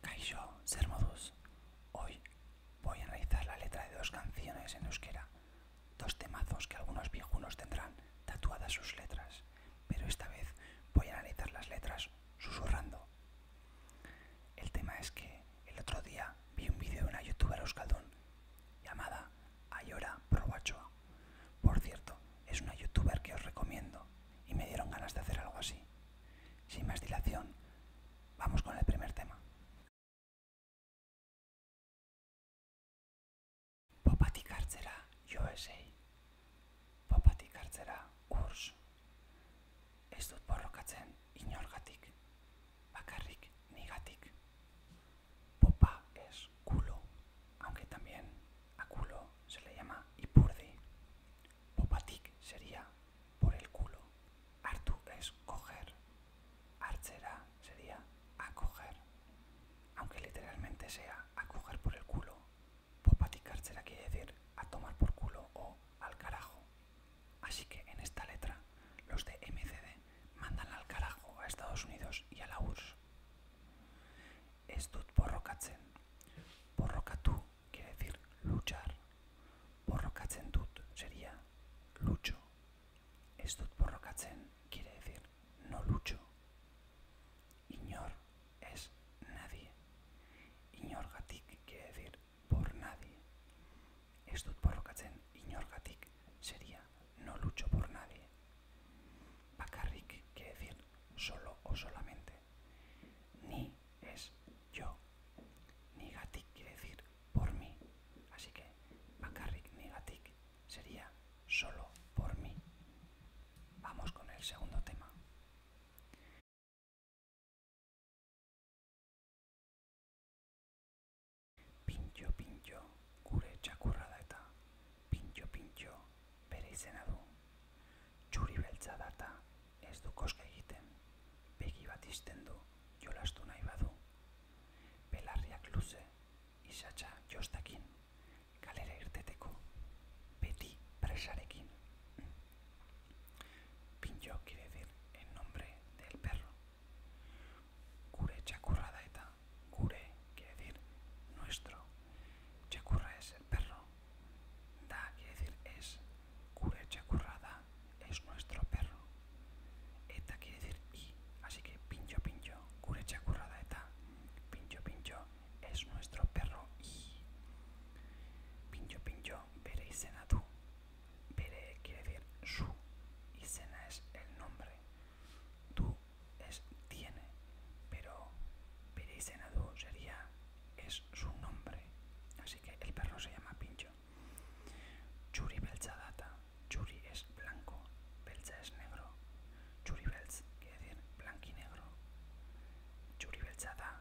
Kaisho Sermodus. Hoy voy a analizar la letra de dos canciones en euskera, dos temazos que algunos viejunos tendrán tatuadas sus letras, pero esta vez voy a analizar las letras susurrando. El tema es que el otro día vi un vídeo de una youtuber euskaldun llamada Ayora Probachoa. Por cierto, es una youtuber que os recomiendo y me dieron ganas de hacer algo así. Sin más dilación, vamos con el primer tema. Popatik hartzera USA. Popatik hartzera urs. Ez dut borrokatzen inorgatik. Bakarrik nigatic. Popa es culo, aunque también a culo se le llama ipurdi. popatic sería por el culo. Artu es coger. Archera sería acoger. Aunque literalmente sea acoger por el culo. Popatik archera quiere decir a tomar por culo o al carajo. Así que en esta letra, los de MCD mandan al carajo a Estados Unidos y a la URSS. Estud por borrokatzen. Borrokatu quiere decir luchar. Borrokatzen sería lucho. Estud borrokatzen quiere decir no lucho. Ignor es nadie. Iñorgatik quiere decir por nadie. Esto borrokatzen gatik sería no lucho por nadie. Bakarrik quiere decir solo o solamente. Ni es yo. ni gatik quiere decir por mí. Así que bakarrik gatik sería solo por mí. Vamos con el segundo tema. Pintjo-pintjo gure txakurra da eta, pinjo-pintjo bere izena du, Txuri beltza data ez du koske egiten, begi izten du jolastu nahi badu, belarriak luze satzsa jostakin kalera irteteko, beti presarekin. Pincho quiere decir el nombre del perro. Curecha currada eta CURE quiere decir nuestro. CHACURRA es el perro. Da quiere decir es. CURE currada es nuestro perro. Eta quiere decir y. Así que pincho pincho. curecha currada eta pincho pincho es nuestro perro y. Pincho pincho Pere pere y Senadú. pere quiere decir su y Sena es el nombre. tú es tiene, pero pere y Senadú sería es su nombre. Así que el perro se llama Pincho. Churi Belchadata. Churi es blanco, Belcha es negro. Churi Belch quiere decir negro, Churi Belchada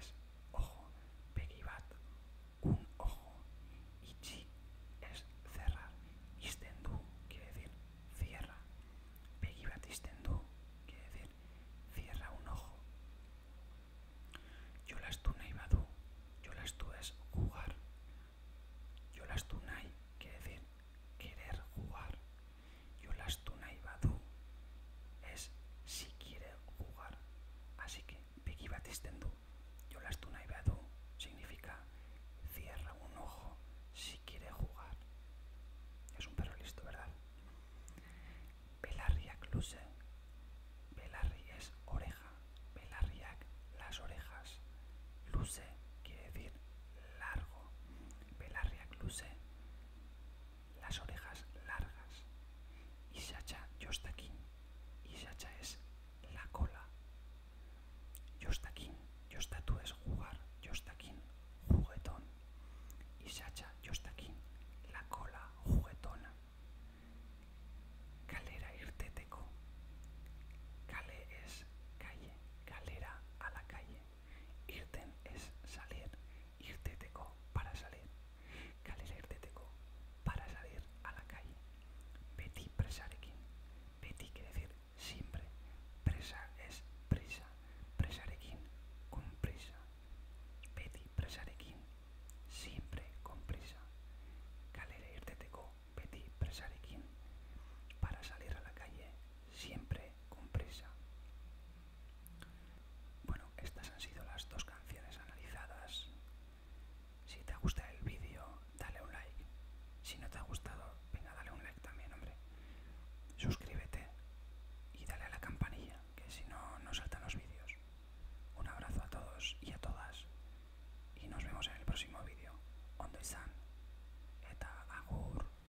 es ojo, bat un ojo, Ichi, es cerrar, Istendu quiere decir cierra, bat Istendu quiere decir cierra un ojo. Yolastuna y Badu, Yolastu es jugar, Yolastunai quiere decir querer jugar, Yolastunai Badu es si quieres jugar. Así que Piki Yo Yolastuna y Badu significa cierra un ojo si quiere jugar. Es un perro listo, ¿verdad? Pelarriak Luse. Belarri es oreja. Pelarriak, las orejas. Luce, quiere decir largo. Pelarriak luce las orejas largas. Y Sacha aquí Y Sacha es la cola. yo yo está aquí está tú es jugar. yo está aquí juguetón. Y Sacha aquí la cola juguetona. Calera teco Cale es calle. Calera a la calle. Irten es salir. Irteteco para salir. irte para salir a la calle. PETI presarekin. PETI quiere decir siempre. Presa es prisa. Presarekin con prisa. PETI presarekin siempre con prisa. te irteteco. Peti presarekin para salir a la calle siempre con prisa. Bueno, estas han sido las dos canciones analizadas. Si te gusta el vídeo, dale un like. Si no te ha gustado, venga, dale un like también, hombre. Suscríbete y dale a la campanilla, que si no, no saltan los vídeos. Un abrazo a todos y a todas. Y nos vemos en el próximo vídeo. Ondo san Eta agur.